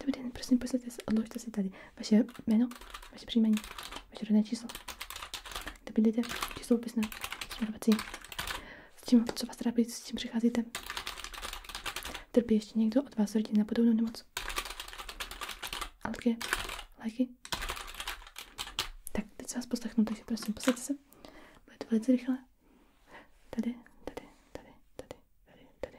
Dobrý den, prosím, posaďte se, odložte si tady vaše jméno, vaše příjmení, vaše rodné číslo. Dobydlíte číslo opisné, směrovací. S čím, co vás trápí, s čím přicházíte. Trpí ještě někdo od vás rodin na podobnou nemoc? Alergie, léky. Tak, teď se vás poslechnu, takže prosím, posaďte se. Bude to velice rychle. Tady, tady, tady, tady, tady, tady.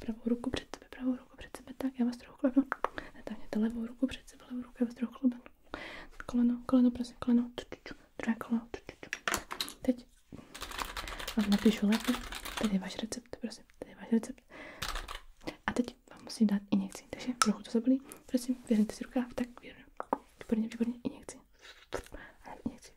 pravou ruku před sebe, pravou ruku před sebe, tak já vás trochu klebnu. Natáhněte levou ruku před sebe, levou ruku, já vás trochu klebnu. Koleno, koleno, prosím, koleno, druhé koleno, teď vám napíšu léky, tady je váš recept, prosím, tady je váš recept. A teď vám musím dát injekci, takže trochu to zabolí, prosím, věřte si rukáv, tak věřím. Výborně, výborně, injekci. A injekci.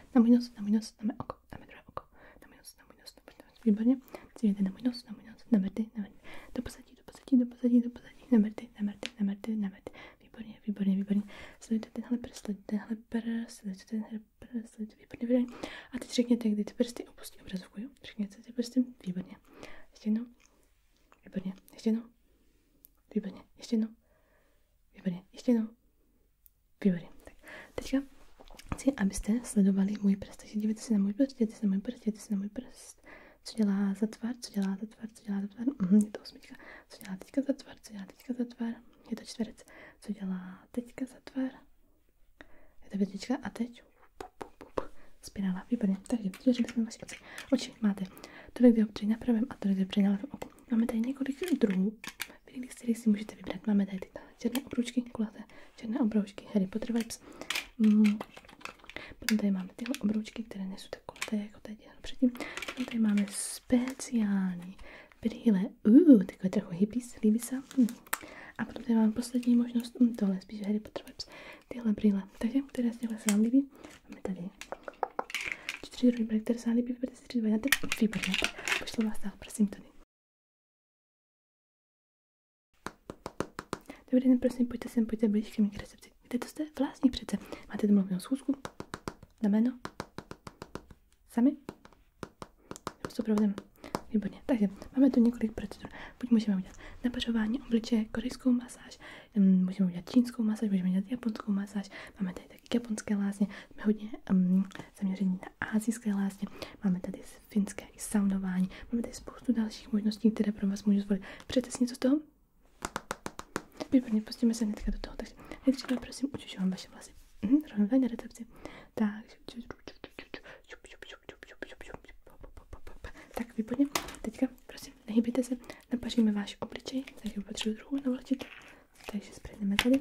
na můj nos, na můj nos, na mé oko, na mé druhé oko, na můj nos, na můj nos, na můj nos, výborně, cílíte na můj nos, na můj nos, na mrty, na mrty, do pozadí, do pozadí, do pozadí, do pozadí, na mrty, na mrty, na mrty, na mrty, výborně, výborně, výborně, sledujte tenhle prst, sledujte tenhle prst, sledujte tenhle prst, sledujte, výborně, výborně, a teď řekněte, kdy ty prsty opustí obrazovku, jo, řekněte ty prsty, výborně, ještě jednou, výborně, ještě jednou, Výborně, ještě jednou. Výborně, ještě jednou. Výborně. Tak teďka chci, abyste sledovali můj prst. Takže dívejte se na můj prst, dívejte se na můj prst, dívejte se na můj prst. Co dělá za tvar, co dělá za tvar, co dělá za tvar. Mm, je to osmička. Co dělá teďka za tvar, co dělá teďka za tvar. Je to čtverec. Co dělá teďka za tvar. Je to větička a teď spirála. Výborně. Takže vyřešili jsme vaše oči. Oči máte tolik dioptrií na pravém a tolik dioptrií na levém Máme tady několik druhů, z kterých si můžete vybrat. Máme tady ty černé obroučky, kulaté černé obroučky Harry Potter vibes. Mm. Potom tady máme tyhle obroučky, které nejsou tak kulaté, jako tady předtím. Potom tady máme speciální brýle. Uh, takové trochu hippies, líbí se. Mm. A potom tady máme poslední možnost, mm, tohle je spíš Harry Potter vibes, tyhle brýle. Takže, které z těchto se vám líbí, Máme tady čtyři rojby, které se líbí, vyberete si tři varianty. Výborně. Pošlu vás dál, prosím, tady. Dobrý den, prosím, pojďte sem, pojďte blíž ke mně recepci. Víte, to jste vlastní přece. Máte domluvenou schůzku? Na jméno? Sami? S doprovodem. Výborně. Takže máme tu několik procedur. Buď můžeme udělat napařování obličeje, korejskou masáž, můžeme udělat čínskou masáž, můžeme udělat japonskou masáž, máme tady taky japonské lázně, jsme hodně um, zaměření na asijské lázně, máme tady finské i saunování, máme tady spoustu dalších možností, které pro vás můžu zvolit. Přejete si něco z toho? Výborně, pustíme se hnedka do toho, takže nejdříve prosím učužu vám vaše vlasy. Mhm, rovnou tady na recepci. Takže tak výborně, teďka prosím, nehybíte se, Napaříme váš obličej, takže potřebuji druhou navlečit. Takže sprejdeme tady,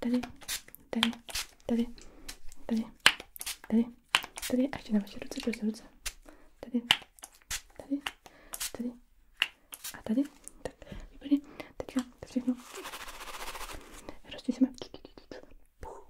tady, tady, tady, tady, tady, tady a ještě na vaše ruce, prostě ruce. Tady, tady, tady a tady. Tak, výborně. Teďka to všechno rozčísíme. Puh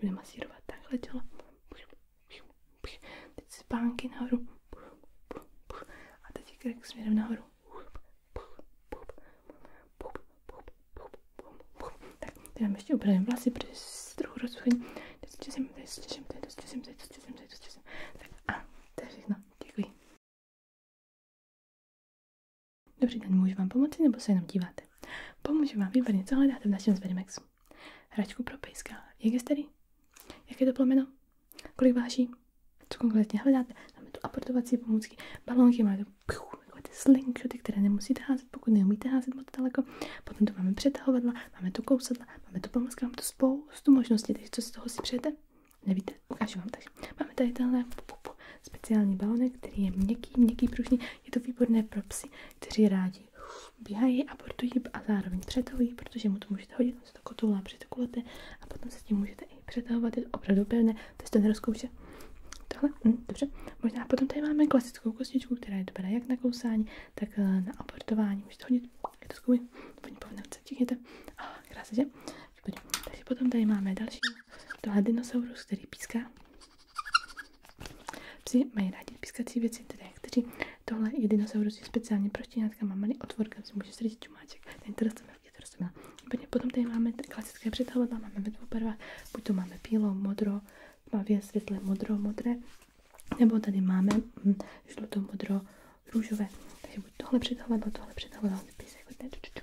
Budu masírovat takhle tělo. Teď spánky nahoru. A teď je krk směrem nahoru. Tak, teď vám ještě upravím vlasy, protože se trochu rozsuchení. Teď stěžím, teď stěžím, teď stěžím, teď stěžím, teď stěžím. Tak a to je všechno. Děkuji. Dobrý den, můžu vám pomoci nebo se jenom díváte? Pomůžu vám, výborně, co hledáte v našem Zverimexu? Hračku pro pejska. Jak je starý? Jaké to plemeno? Kolik váží? Co konkrétně hledáte? Máme tu aportovací pomůcky, balonky, máme tu piu, takové ty slingshoty, které nemusíte házet, pokud neumíte házet moc daleko. Potom tu máme přetahovadla, máme tu kousadla, máme tu pomůcky, máme tu spoustu možností, takže co z toho si přejete? Nevíte, ukážu vám. Takže máme tady tenhle speciální balonek, který je měkký, měkký, pružný je to výborné pro psy, kteří rádi běhají, a abortují a zároveň přetahují, protože mu to můžete hodit, on se to kotoulá, přetokulete a potom se s tím můžete i přetahovat, je to opravdu pevné, to jste nerozkoušel. Tohle, hm, dobře, možná potom tady máme klasickou kostičku, která je dobrá jak na kousání, tak eh, na abortování, můžete hodit, je to skvělé, paní povnavce, čekněte, a oh, krásně, že? Takže potom tady máme další, tohle dinosaurus, který píská, Psi mají rádi pískací věci, tedy kteří tohle je dinosaurus je speciálně pro štěňátka, má malý otvor, kam si může srdit čumáček. Ten to rostomil, je to rostomil. Potom tady máme klasické přetahadla, máme ve dvou barvách, buď to máme bílo, modro, tmavě, světle, modro, modré, nebo tady máme hm, žluto, modro, růžové. Takže buď tohle přetahadlo, tohle přetahadlo, ty písek, jako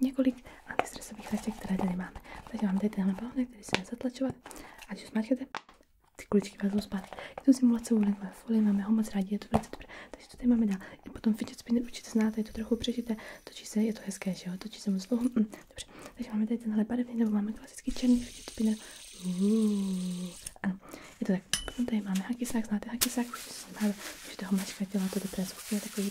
několik antistresových hraček, které tady máme. Takže máme tady tenhle balonek, který se dá zatlačovat a když ho smáčkete, ty kuličky vezmou zpátky. Je to simulace uhlíkové folie, máme ho moc rádi, je to velice dobré. Takže to tady máme dál. I potom fidget spinner určitě znáte, je to trochu přežité, točí se, je to hezké, že jo, točí se moc dlouho. Mm, dobře, takže máme tady tenhle barevný, nebo máme klasický černý fidget spinner. Uuu. Ano, je to tak. Potom tady máme hakisák, znáte hakisák, už se máte, můžete ho mačkat, dělá to dobré zvuky, takový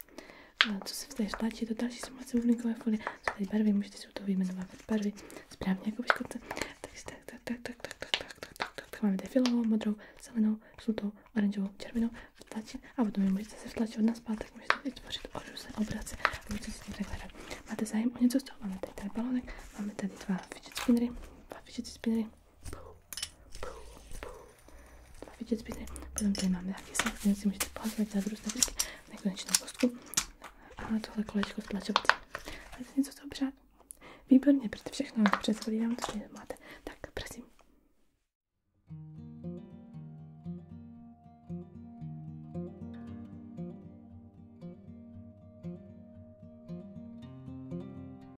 co se v té tlačí, to další sumace uhlíkové folie, jsou tady barvy, můžete si u toho vyjmenovávat barvy, správně jako vyškodce. Takže tak, tak, tak, tak, tak, tak, tak, tak, tak, tak, tak, máme tady filovou, modrou, zelenou, žlutou, oranžovou, červenou, vtlačit a potom je můžete se vtlačit od nás zpátek, můžete vytvořit různé obrace a můžete si tím takhle hrát. Máte zájem o něco z toho? Máme tady, tady balonek, máme tady dva fidget spinnery, dva fidget spinnery, Puh. Dva vidět zbytné. Potom tady máme taky snad, který si můžete pohazovat, zadru snad nekonečnou kostku. A tohle kolečko stlačovací. Ale něco to obřád. Výborně, protože všechno dobře zvolívám, to máte. Tak, prosím.